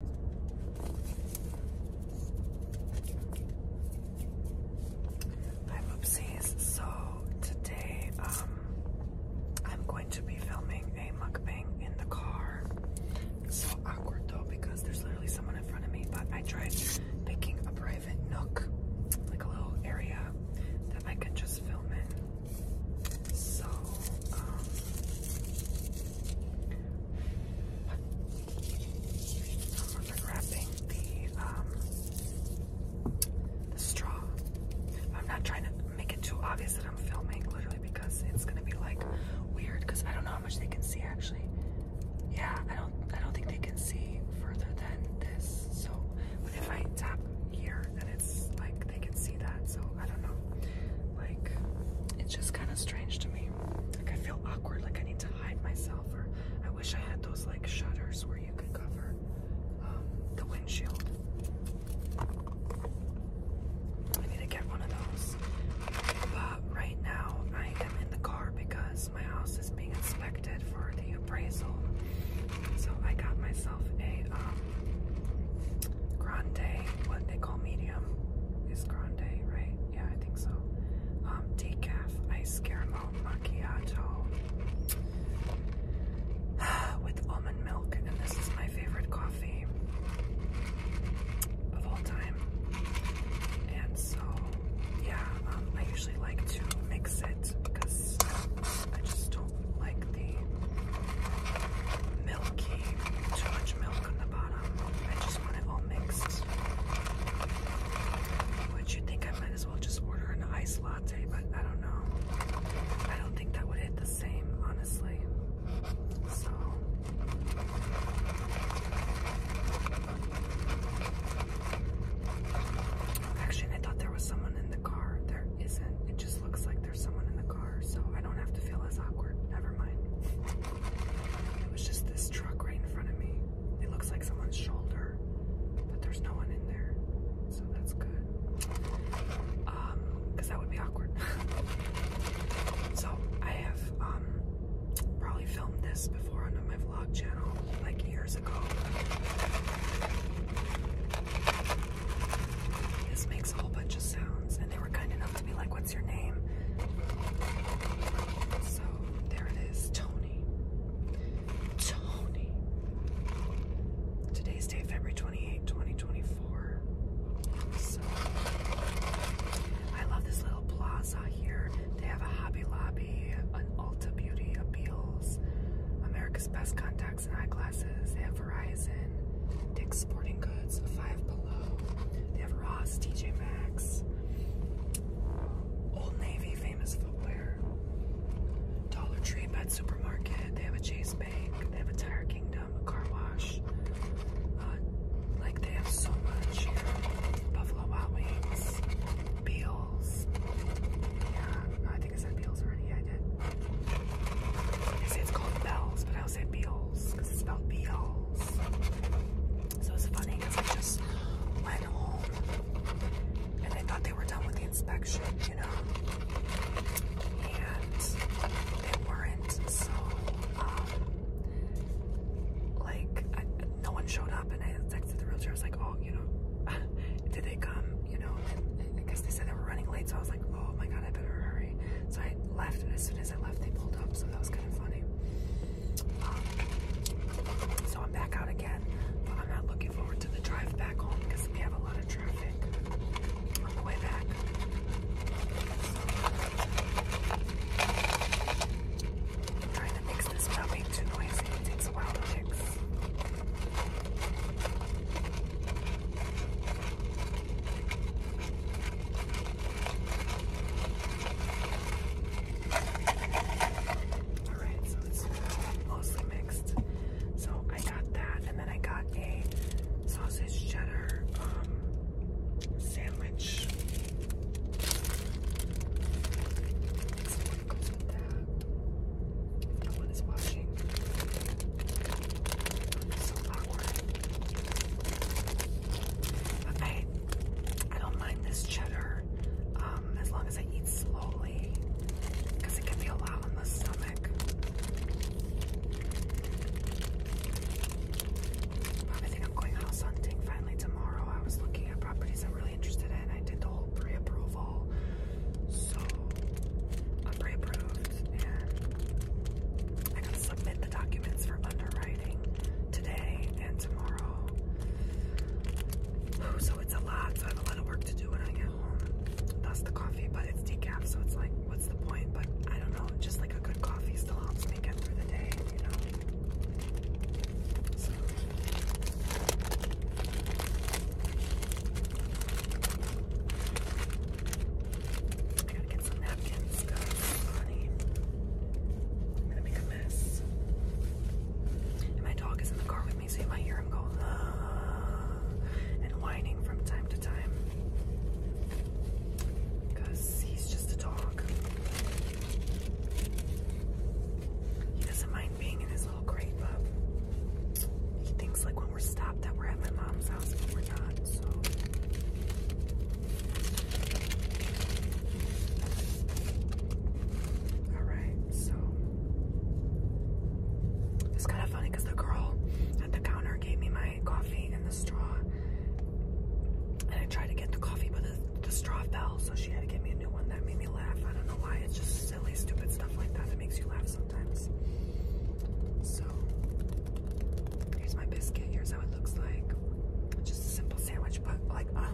Hi whoopsies, so today um I'm going to be filming a mukbang in the car. It's so awkward though because there's literally someone in front of me, but I tried picking a private nook, like a little area that I can just film in. So um I remember grabbing um, the straw. I'm not trying to make it too obvious that I'm filming literally because it's gonna be like weird because I don't know how much they can see actually. Yeah, I don't I don't think they can see further than this. So but if I tap here then it's like they can see that so I don't know. Like, it's just kind of strange to me. Like, I feel awkward, like I need to hide myself, or I wish I had those like shutters where you could cover um, the windshield. I need to get one of those. But right now, I am in the car because my house is being inspected for the appraisal. So I got myself a um, grande, what they call medium is grande, right? Yeah, I think so. Um, decaf ice caramel macchiato with almond milk, and this is my favorite coffee of all time. And so, yeah, um, I usually like to mix it because I just don't like the milky, too much milk on the bottom. I just want it all mixed. Which you think I might as well just order an iced latte, but I don't know. I don't think that would hit the same, honestly. So. Actually, I thought there was someone in the car. There isn't just looks like there's someone in the car, so I don't have to feel as awkward. Never mind. It was just this truck right in front of me. It looks like someone's shoulder, but there's no one in there, so that's good. Um, because that would be awkward. so I have um probably filmed this before on my vlog channel like years ago. This makes a whole bunch of sounds, and they were kind enough to be like, What's your name? So there it is, Tony. Tony. Today's day, February 28, 2024. I love this little plaza here. They have a Hobby Lobby, an Ulta Beauty, a Beals, America's Best Contacts and Eyeglasses. Verizon, Dick's Sporting Goods, Five Below. They have Ross, TJ Maxx, Old Navy, Famous Footwear, Dollar Tree, Pet Supermarket. They have a Chase Bank. They have a Tire Kingdom, a car wash. Uh, like they have so much here. Buffalo Wild Wings, Beals. Yeah, I think I said Beals already. Yeah, I did. They say it's called Bells, but I was at Beals because it's about Beals. So it's funny because I just went home and I thought they were done with the inspection, you know. And they weren't, so um, like I, no one showed up, and I texted the realtor. I was like, "Oh, you know, did they come? You know?" And, and I guess they said they were running late, so I was oh my god, I better hurry. So I left, and as soon as I left, they pulled up, so that was kind of funny. Um, so I'm back out again, but I'm not looking forward to the drive back home because we have a lot of traffic on the way back. trying to mix this without being too noisy. It takes a while to mix. Alright, so it's mostly mixed. So I got that, and then I got a sausage cheddar um, sandwich. no one is watching. So I, don't mind this cheddar um, as long as I eat slowly it can be a lot on the stomach. Probably think I'm going house hunting finally tomorrow. I was looking at properties I'm really interested in. I did the whole pre-approval. So, I'm pre-approved documents and I gotta submit the documents for underwriting today and tomorrow. So it's a lot, so I have a lot of work to do when I get home. That's the coffee, but it's decaf, so it's like, what's the point? But I don't know, just like a good coffee still helps me get through the day, you know? I gotta get some napkins, because gonna make a mess. my dog is in the car with me, so you hear him go, ah, and whining from time to time. Because he's just a dog. He doesn't mind being in his little crate, but he thinks like we're stopped at my mom's house, but we're not, so. It's kind of funny because the girl at the counter gave me my coffee and the straw. And I tried to get the coffee, but the, straw fell, so she had to give me a new one. That made me laugh. I don't know why. It's just silly, stupid stuff like that that makes you laugh sometimes. So here's my biscuit. Here's how it looks like. Just a simple sandwich, but like, oh.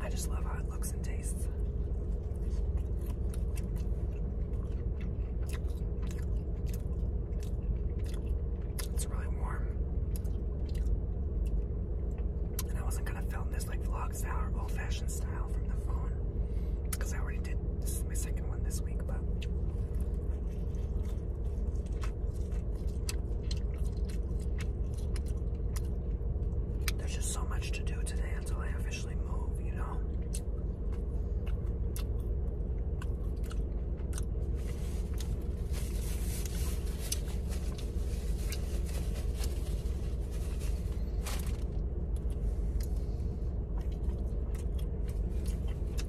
I just love how it looks and tastes. It's really warm. And I wasn't gonna film this like vlog style or old-fashioned style from the phone. Because I already did this is my second one this week, but there's just so much to do today until I officially move, you know.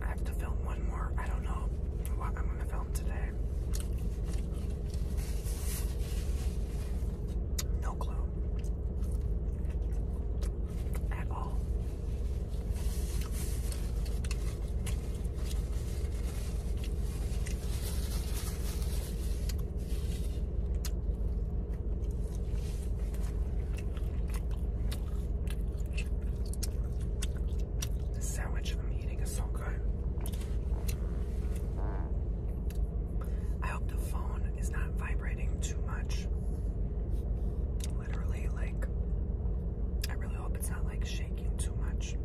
I have to film one more. I don't know what I'm going to film today. No clue. At all. The sandwich I'm eating is so good. I hope the phone is not vibrating too much. Literally, like I really hope it's not like shaking too much.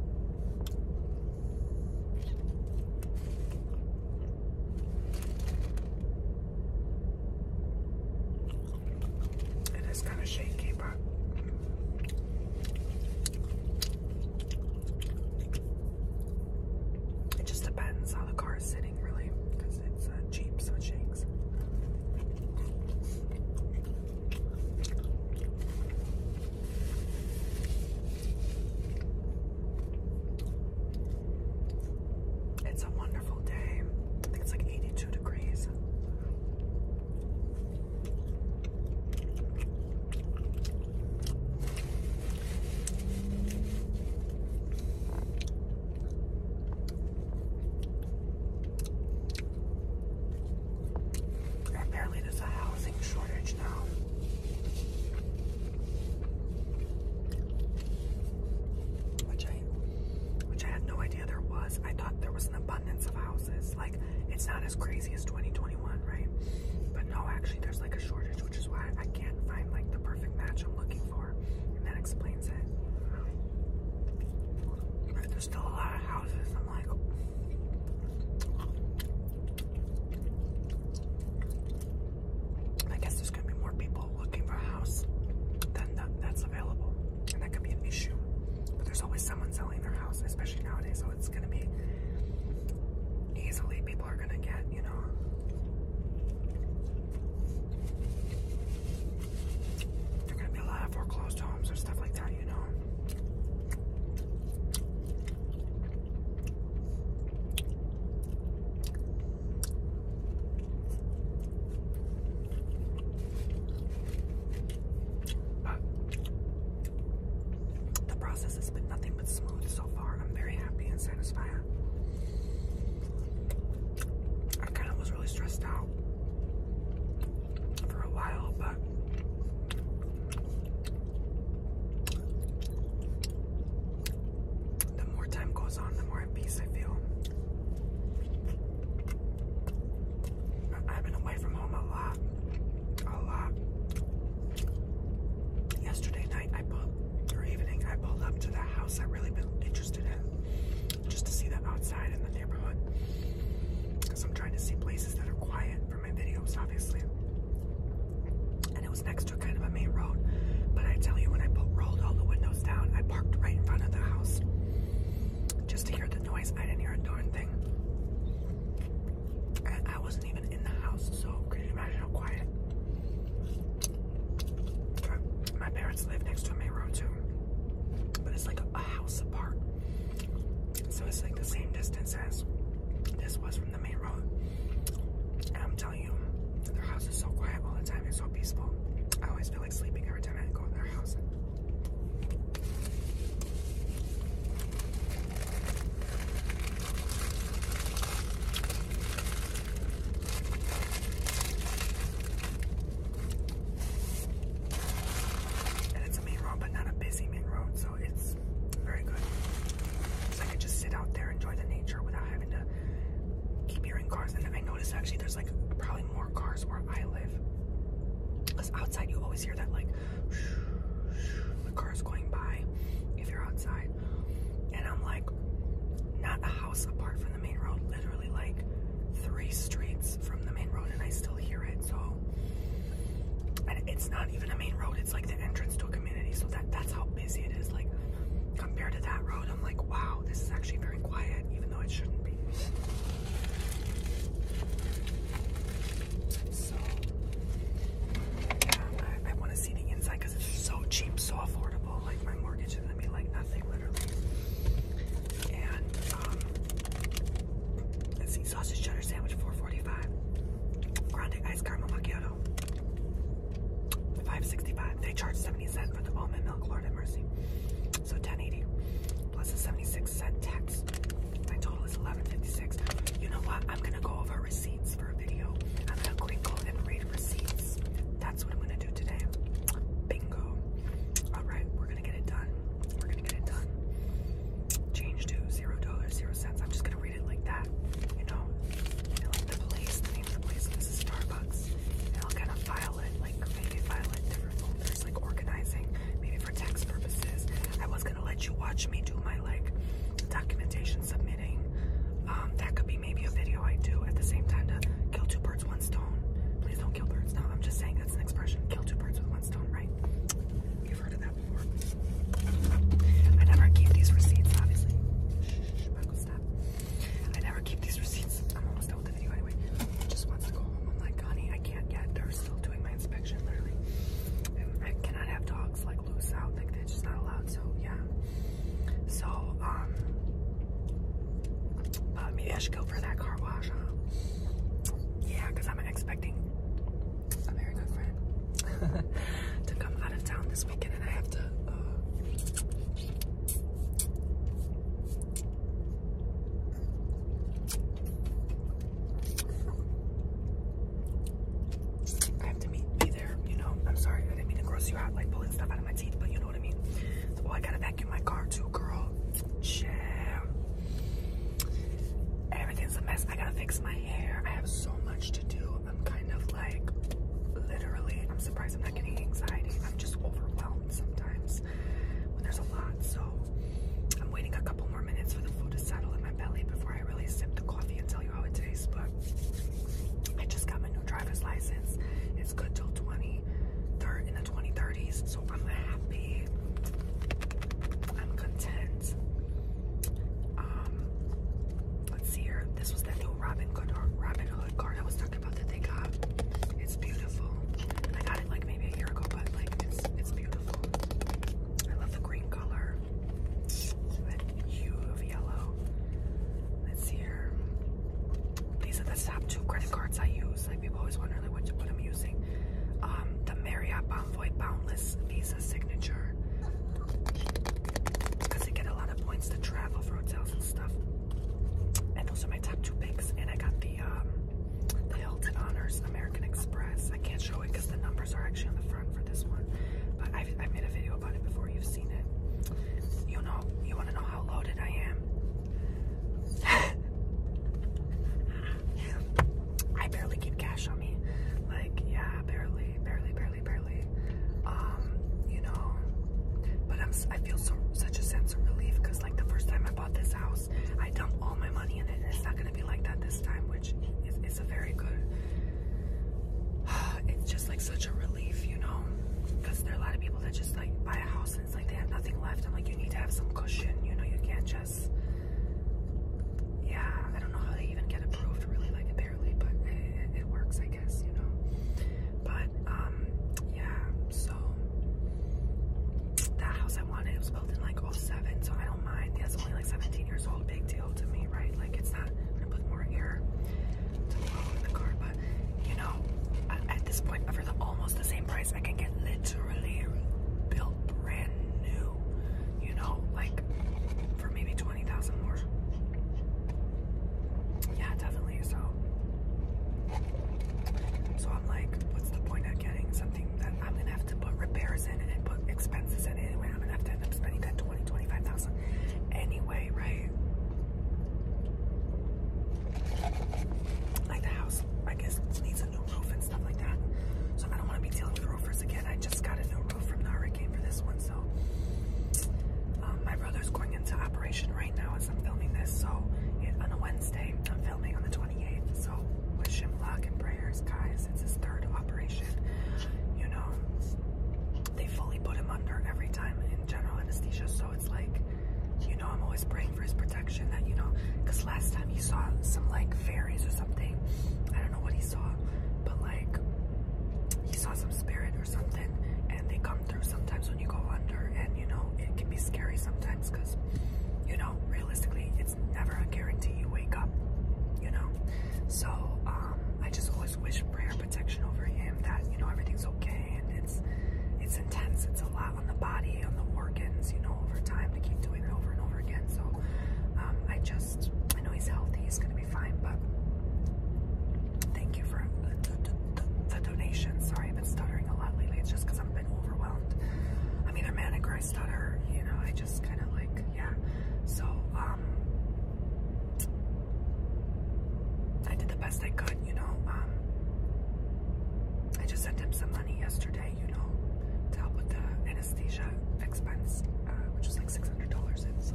It is kind of shaky, but it just depends how the car sitting, really, because it's uh, cheap, so it shakes. It's a wonderful day. I think it's like 82 degrees. Apparently, there's a housing shortage now. Which I, which I had no idea there was. I thought there was an abundance of houses. Like it's not as crazy as 2021, right? But no, actually, there's like a shortage, which is why I can't find like the perfect match I'm looking for, and that explains it there's still a lot of houses. I'm like, I guess there's gonna be more people looking for a house than that's available, and that could be an issue. But there's always someone selling their house, especially nowadays. So it's gonna be easily people are gonna get, you know. There gonna be a lot of foreclosed homes or stuff like the process has been nothing but smooth so far. I'm very happy and satisfied. I kind of was really stressed out for a while, but the more time goes on, the more at peace I feel. I've been away from home a lot. A lot. Yesterday night I pulled or evening I pulled up to the house I've really been interested in just to see them outside in the neighborhood. Because I'm trying to see places that are quiet for my videos, obviously. And it was next to a kind of a main road. But I tell you, when I put, rolled all the windows down, I parked right in front of the house just to hear the noise. I didn't hear a darn thing. And I wasn't even in the house, so can you imagine how quiet? My parents live next to a main road too, but it's like a house apart. So it's like the same distance as this was from the main road. And I'm telling you, their house is so quiet all the time. It's so peaceful. I always feel like sleeping every time I go in their house. And it's a main road, but not a busy main road, so it's very good. So I could just sit out there, enjoy the nature without having to keep hearing cars. And I noticed actually there's like probably more cars where I live. outside you always hear that like the cars going by if you're outside. And I'm like, not a house apart from the main road, literally like three streets from the main road and I still hear it. So and it's not even a main road, it's like the entrance to a community. So that that's how busy it is. Like compared to that road, I'm like, wow, this is actually very quiet, even though it shouldn't be. So I want to see the inside because it's so cheap, so affordable. Like my mortgage is gonna be like nothing, literally and um, let's see, sausage cheddar sandwich, four forty-five. Grande iced caramel macchiato, five sixty-five. They charge seventy cents for the almond milk, Lord have mercy. So ten eighty plus a seventy-six cent tax. My total is eleven fifty-six. You know what? I'm gonna go over receipts for a video. I'm gonna quick go and read receipts. That's what I'm gonna do today. Bingo. Alright, we're gonna get it done. We're gonna get it done. Change to zero dollars, zero cents. I'm just gonna read it like that, you know? like the place, name of the place, is Starbucks. I'll kind of file it, like maybe file it different folders, like organizing, maybe for tax purposes. I was gonna let you watch me do my like documentation submitting. Um, that could be maybe a video I do at the same time to kill two birds one stone. Please don't kill birds. No, I'm just saying that's an expression. Kill two birds with one stone, right? You've heard of that before. I never keep these receipts, obviously. I never keep these receipts. I'm almost done with the video anyway. just wants to go home. I'm like, honey, I can't yet. they still doing my inspection, literally. I cannot have dogs like loose out. Like, they just not allowed. So, yeah. So, um, uh, maybe I should go for that car wash, huh? Yeah, because I'm expecting a very good friend to come out of town this weekend and I have to uh, I have to meet be there, you know. I'm sorry, I didn't mean to gross you out like pulling stuff out of my teeth, but you know what I mean? oh, I gotta vacuum my car too, girl. Shit. Everything's a mess. I gotta fix my hair. I have so much to do. I'm kind of like, literally, I'm surprised I'm not getting anxiety. I'm just overwhelmed sometimes when there's a lot. So, I'm waiting a couple more minutes for the food to settle in my belly before I really sip the coffee and tell you how it tastes. But I just got my new driver's license. It's good till 20. 20, in the 2030s. So I'm happy. I'm content. Um, let's see here. This was that new Robin Hood, uh, Robin Hood card I was talking about that they got. It's beautiful. I got it like maybe a year ago, but like it's it's beautiful. I love the green color. That hue of yellow. Let's see here. These are the top two credit cards I use people always wonder like what, I'm using. Um, the Marriott Bonvoy Boundless Visa Signature. Because get a lot of points to travel for hotels and stuff. And those are my top two picks. And I got the um, the Hilton Honors American Express. I can't show it because the numbers are actually on the front for this one. But I've, i made a video about it before. You've seen it. You know, you want to know how loaded I am. I barely keep cash on me. Like, yeah, barely, barely, barely, barely. Um, you know, but I'm, I feel so, such a sense of relief because like the first time I bought this house, I dumped all my money in it it's not going to be like that this time, which is, a very good, it's just like such a relief, you know, because there are a lot of people that just like buy a house it's like they have nothing left. I'm like, you need to have some cushion, you know, you can't just, yeah, I don't know how they even get approved really, like apparently, but it, it works, I guess, you know, but, um, yeah, so, that house I wanted, it was built in like 07, so I don't mind, that's only like 17 years old, big deal to me, right, like it's not, I'm gonna put more air to the in the car, you know, at this point, for the, almost the same price, I can get literally built brand new. You know, like for maybe twenty thousand more. Yeah, definitely. So, so I'm like, what's the point of getting something that I'm gonna have to put repairs in and put expenses in anyway? I'm gonna have to end up spending that twenty, twenty-five thousand anyway, right? Like the house, I guess, needs a new roof and stuff like that. So I don't want to be dealing with roofers again. I just got a new roof from the hurricane for this one. So um, my brother's going into operation right now as I'm filming this. So on a Wednesday, I'm filming on the 28th. So wish him luck and prayers, guys. It's his third operation. You know, they fully put him under every time in general anesthesia. So it's like, you know, I'm always praying for his protection that, you know, because last time he saw some like fairies or something. I don't know what he saw, but like he saw some spirit or something and they come through sometimes when you go under and, you know, it can be scary sometimes because, you know, realistically, it's never a guarantee you wake up, you know? So um, I just always wish prayer protection over him that you know everything's okay and it's it's intense it's a lot on the body on the organs you know over time to keep doing it over and over again so um, I just I know he's healthy he's gonna be fine but thank you for uh, the, donation sorry I've been stuttering a lot lately it's just because I've been overwhelmed I'm a manic or stutter you know I just kind of like yeah so um I did the best I could, you know. Um, I just sent him some money yesterday, you know, to help with the anesthesia expense, uh, which was like six hundred dollars So,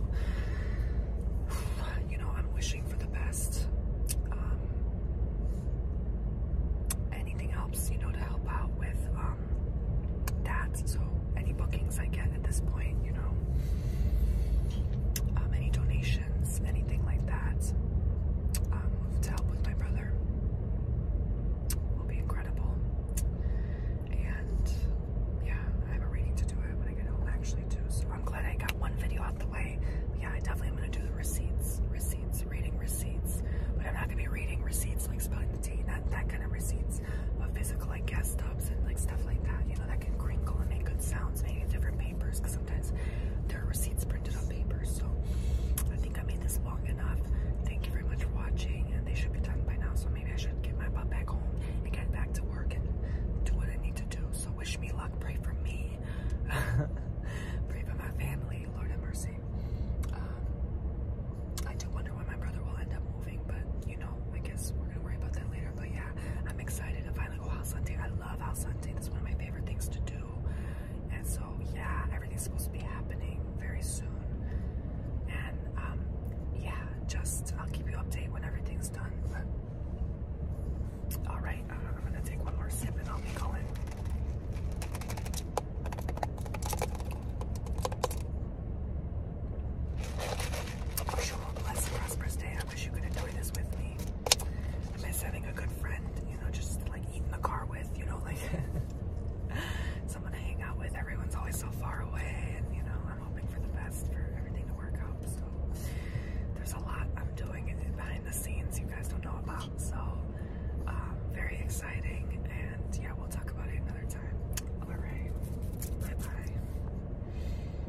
you know, I'm wishing for the best. Um, anything helps, you know, to help out with um, that. So, any bookings I get at this point, you know, um, any donations anything like that, um, to help with my brother will be incredible. And yeah, I have a reading to do when I get home actually too. So I'm glad I got one video out the way. yeah, I definitely am gonna do the receipts, receipts, reading receipts. But I'm not gonna be reading receipts like spelling the tea, not that kind of receipts, of physical like gas stops and like stuff like that. You know, that can crinkle and make good sounds, make different papers because sometimes there receipts printed on paper. So I think I made this long enough. Thank you very much for watching. And they should be done by now. So maybe I should get my butt back home and get back to work and do what I need to do. So wish me luck. Pray for me. Pray for my family. Lord have mercy. Um, I do wonder why my brother will end up moving, but you know, I guess we're gonna worry about that later. But yeah, I'm excited to finally go out Sunday. I love house hunting. one of my favorite things to do. And so, yeah, everything's supposed to be happening very soon. And um, yeah, just I'll keep you updated when everything's done. all right, uh, I'm gonna take one more sip and I'll be going. I wish you all day I wish you could enjoy this with me. I miss having a good friend, you know, just like eating the car with, you know, like someone to hang out with. Everyone's always so far away, and you know, I'm hoping for the best for everything to work out. So there's a lot I'm doing behind the scenes you guys don't know about. So very exciting, and yeah, we'll talk about it another time. All right, bye bye.